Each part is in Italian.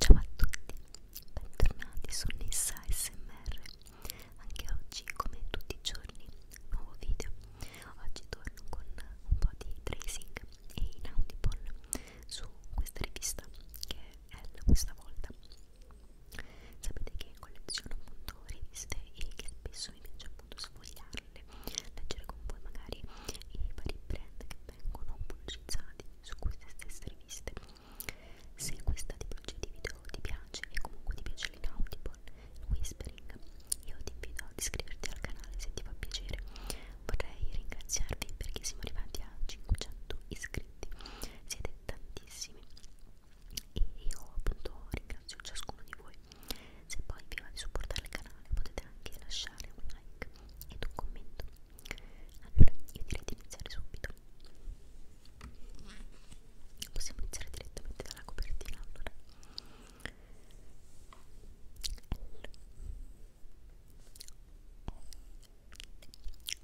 Ciao a tutti, bentornati su Nissa SMR. Anche oggi, come tutti i giorni, nuovo video. Oggi torno con un po' di tracing e inaudible su questa rivista che l questa volta sapete che colleziono appunto riviste e che spesso mi piace appunto sfogliarle leggere con voi magari i vari brand che vengono pubblicizzati su queste stesse riviste se questa tipologia di video ti piace e comunque ti piace l'inaudible, il whispering io ti invito ad iscriverti al canale se ti fa piacere vorrei ringraziarvi perché siamo arrivati a 500 iscritti iscritti, siete tantissimi e io appunto ringrazio ciascuno di voi. Se poi vi va di supportare il canale potete anche lasciare un like ed un commento. Allora io direi di iniziare subito. Possiamo iniziare direttamente dalla copertina allora. L, L,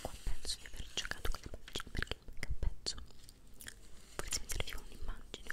Qua penso di aver giocato con le pagine perché manca un pezzo. Forse mi serviva un'immagine.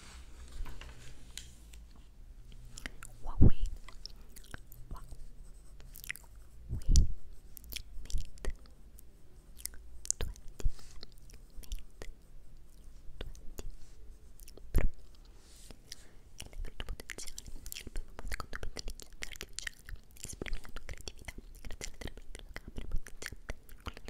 Huawei Huawei Mate 20 Mate 20 Pro è l'aperto potenziale, il primo secondo per l'intelligenza artificiale esprime la tua creatività grazie alla terapia della camera potenziale con la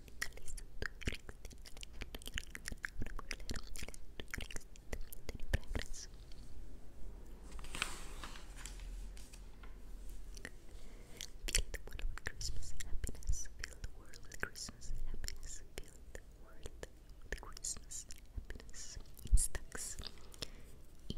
progress. Fill the world with Christmas happiness. Fill the world with Christmas happiness. Fill the world with Christmas happiness. In stacks. In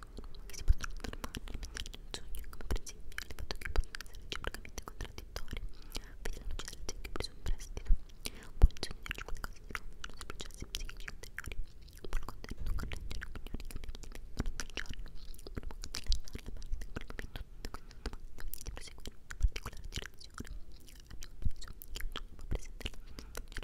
che si possono trasformare nel pensiero del sogno, come per esempio il fatto che possono essere reciprocamente contraddittori, vedi la luce del secchio preso in prestito, può insegnarci qualcosa di nuovo sui processi psichici ulteriori, può contenere correggere opinioni che abbiamo diventato nel giorno, può contenere la parte che abbiamo tutto questo domanda e di proseguire in una particolare direzione. Abbiamo preso che ognuno può presentare la sua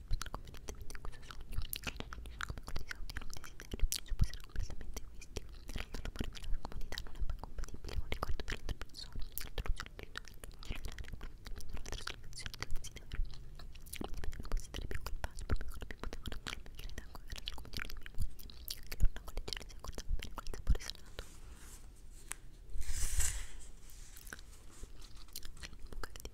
spesso convenientemente in questo sogno che i generi sono come quelli di Saudi non desiderio, può essere completamente egoisti in realtà l'amore per la comodità non è mai compatibile con il ricordo per l'altra persona l'introduzione del rituale cellulare quindi un'altra soluzione del desiderio quindi non consideri più quel passo proprio quello più potevano non mi chiede tanto era la comodità di mia moglie che l'orna con le gelle si accordava bene con il sapore salato il buco che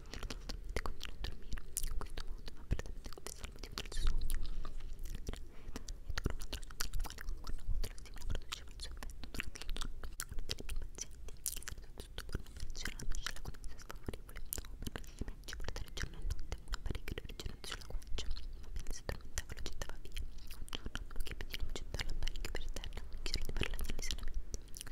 Ti continuo a dormire in questo modo, ma prettamente confesso il motivo del suo sogno. E torno a dormire con una motola si produceva il suo effetto durante il giorno. Una delle mie pazienti, che è stata sottoposta a un'operazione sulla connessa sfavorevole, non ci portare giorno e notte una parecchia originante sulla guancia, ma appena si addormentava lo gettava via. Un giorno, che più di non gettare l'apparecchio per terra, chiese di parlarne risanamente.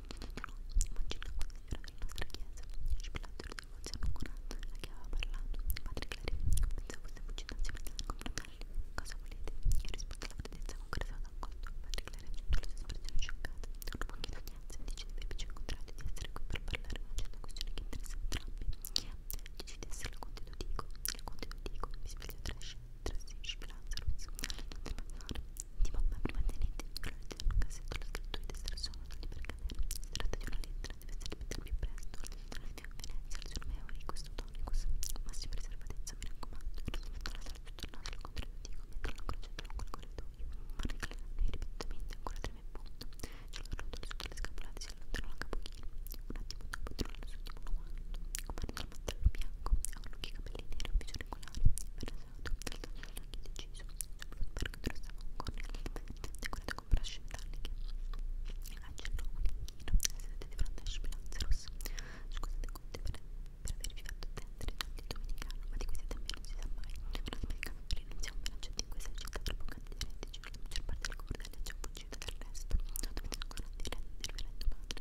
Mancino consigliere della nostra chiesa, Splatter di Monziano Conato, a chi aveva parlato, padre Clary, pensò a questa fucinazione della confratelli, cosa volete? Io rispondo alla potenza con cui sono d'accordo, padre Clary aggiunto la sua espressione scioccata, dopo pochi d'udienza dice di averci incontrato e di essere qui per parlare di una certa questione che interessa entrambi, chi ha? Dici di essere il conte Dico, il conte Dico, mi spiega Trash, trasferisci finanza professionale non ti passare di mamma prima tenete la leggera in un cassetto la scrittura di estrazione non li per cadere si tratta di una lettera deve essere messa più presto alla via Venezia al Germeo di questo tonicus massima riservatezza mi raccomando e risolvendo la salsa tornare al controindico mentre la croce lungo il corridoio ma ricalcando ripetutamente ancora treme punto ce l'ho rotto sotto le scapolate si allontanò la capochino un attimo dopo trovò il suo ultimo nuovo comandò il mattello bianco e un occhio capello linea rombicercolare impenetrato che il taglio indeciso sopra un parco trassava un corno decorato con braccia metalliche Angelo Conichino sedette di fronte a Spilazza Rossa scusate Conte per, per avervi fatto attendere il domenicano ma di questi tempi non si sa mai una smelcava per iniziare un bilanciato in cui esercita troppo canti di reddito la maggior parte delle cordelle è già fuggita dal resto dovete ancora dire del referendum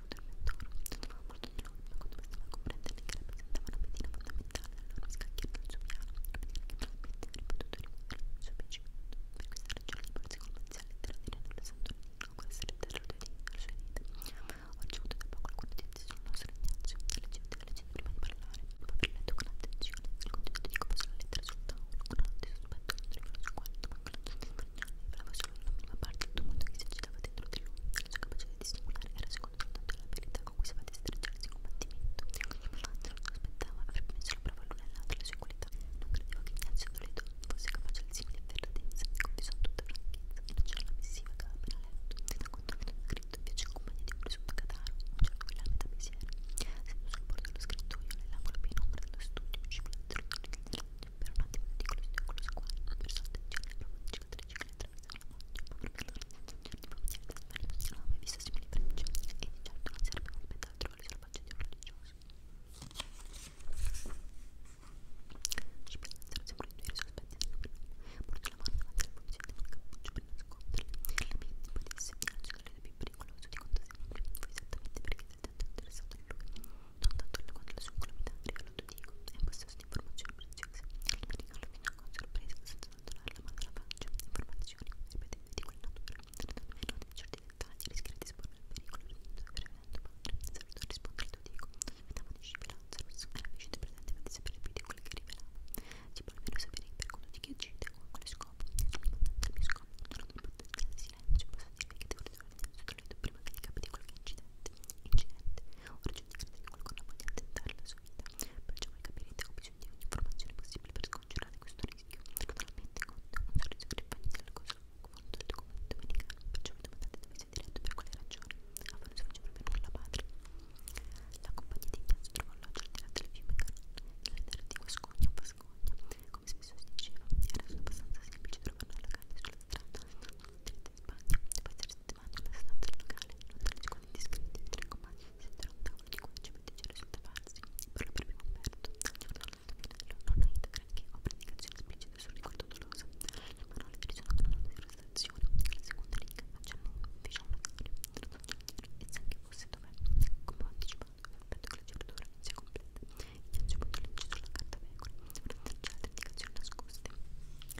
solo del mentore sono molto di loro ma quando bastava comprenderne che rappresentava una pedina fondamentale allora mi scacchiarono il suo piano per dire che probabilmente avrei potuto rimuovere il suo piacimento per questa ragione il borsi commerciale della Direnula Sant'Onino con essere dietro le sue dita ho ricevuto da poco alcune notizie sul nostro Ignazio leggevo delle leggende prima di parlare dopo aver letto con attenzione il contenuto di come sono lettera sul tavolo con un notte sospetto non riconosco quanto ma con la sua testimonianza solo la minima parte del tumulto che si agitava dentro di lui sforzo capace di dissimulare era secondo soltanto l'abilità con cui sapeva distruggere il combattimento. L'angelo non aspettava, avrebbe messo la prova l'una e l'altra le sue qualità. Non credeva che Ignazio Toledo fosse capace di simile efferatezza, confisò tutta franchezza e lanciò la missiva che aveva appena letto. Da controllo scritto invece in compagnia di un presunto cataro, un certo Guillermo Mesiere. Seduto sul bordo dello scrittoio, nell'angolo più in ombra dello studio, circolando per un attimo il ridicolo studio con lo squadro, versante in giro, proprio cicatrice che mai visto simili pranci e di certo non sarebbe un spettacolo alle selvagge di un religioso. Ci piazzano sempre i due sospetti del numero. Porto la mano davanti alla polizia di un cappuccio per nasconderli. La mia tipo di segnare il segreto più pericoloso di conto sempre. Fu esattamente perché sei tanto interessato a in lui. Non tanto quanto la sua incolumità, io lo dico, è un possesso di informazioni preziose. Mi regalo fino con sorpresa senza abbandonare la mano alla faccia. Cioè, informazioni, ripetendo di quella natura. Nemmeno di certi dettagli rischia di esporre il pericolo. Sopravvivendo padre, saluto a rispondere il tuo dico. Metà di scivolanza, rosso era vicino presente per sapere più di quel che rivelava. Si può almeno sapere per conto di chi agite o a quale scopo. Sul mio scopo, non ho potenza di silenzio, posso dirvi che devo ritornare nel suo prima che gli capiti qualche incidente. Incidente, o significa che qualcuno voglia tentare la sua vita. Perciò voi capirete che ho bisogno di ogni informazione possibile per scongiurare questo rischio. Naturalmente conto un sorriso che rifagna dal coso fondo del documento domenicano. Perciò mi domandate dove sia diretto per quale ragione. A voi non si faceva proprio nulla padre. La compagnia di Ignazio trovò l'alloggio al di là del fiume Canon, nell'andare di Guascogna a Pascogna. Come spesso si diceva, era abbastanza semplice trovare la canna sulla strada residente in Spagna, dopo essere settimane passato al locale, lontano con gli iscritti e i tre compagni, sentire un tavolo di 15 medici risultavarsi, parla per primo Umberto, anche per l'altro finello, non aiuta granché, ho predicazione esplicita sul ricordo doloso, le parole risuonano diciamo una devastazione, la seconda riga facciano un fece un notario, tradotto in giro, e sa che fosse dov'è, come ho anticipato, aspetto che la giornata sia completa, gli ho aggiunto legge sulla carta vecola, per tracciare le indicazioni nascoste.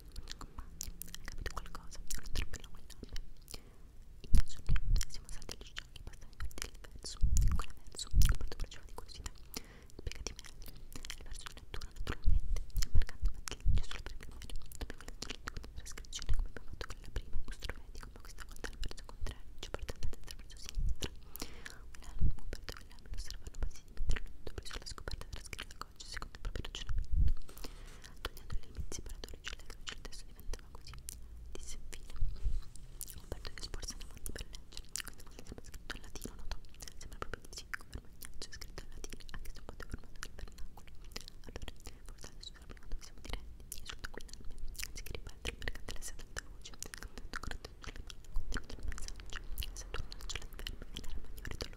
dei buoni compagni, hai capito qualcosa? Non trippello quell'ape. In caso noi siamo salti agli giochi passati per dire il verso, in quel verso, molto precisa di curiosità, spiegati meglio. Il verso di lettura, naturalmente, è marcato perché c'è solo per prima, dobbiamo leggere la trascrizione come abbiamo fatto con la prima, il nostro medico, ma questa volta al verso contrario, ci portando dentro il verso sinistra. Un album, Umberto Villano, osservano passivi mentre l'ho preso alla scoperta della scritta oggi secondo il proprio ragionamento. Togliendo le limiti separatori celebri, il testo diventava così, disse infine. Umberto che sporse in avanti per leggere, questa volta sembra scritto in latino, notò. Sembra proprio di sì, come Magnaccio, scritto in latino, anche se un po' deformato nel vernacolo. Allora, forse adesso sappiamo dove siamo diretti, insulta qui l'arme, anziché ripetere il mercante la sera d'alta voce, cantando correttamente sulle mani, contenuto il messaggio, se torna sulla ferma e la ragna ritorna.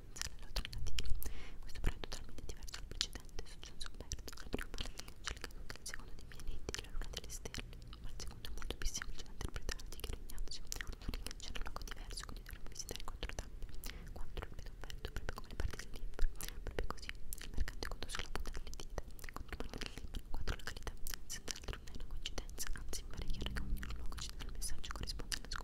pronunziare l'alternativo. Questo però è totalmente diverso dal precedente, successo perso dal primo paradiso, che il secondo dei pianeti, la luna delle stelle, ma il secondo è molto più semplice da interpretare di che Ignazio. C'è un luogo diverso, quindi dovremmo visitare quattro tappe, quattro il offerto, proprio come le parti del libro, proprio così, il mercante conto sulla punta delle dita, contro il del libro, quattro località, senz'altro non è una coincidenza, anzi mi pare chiaro che ogni luogo ci dà il messaggio corrisponde alla scuola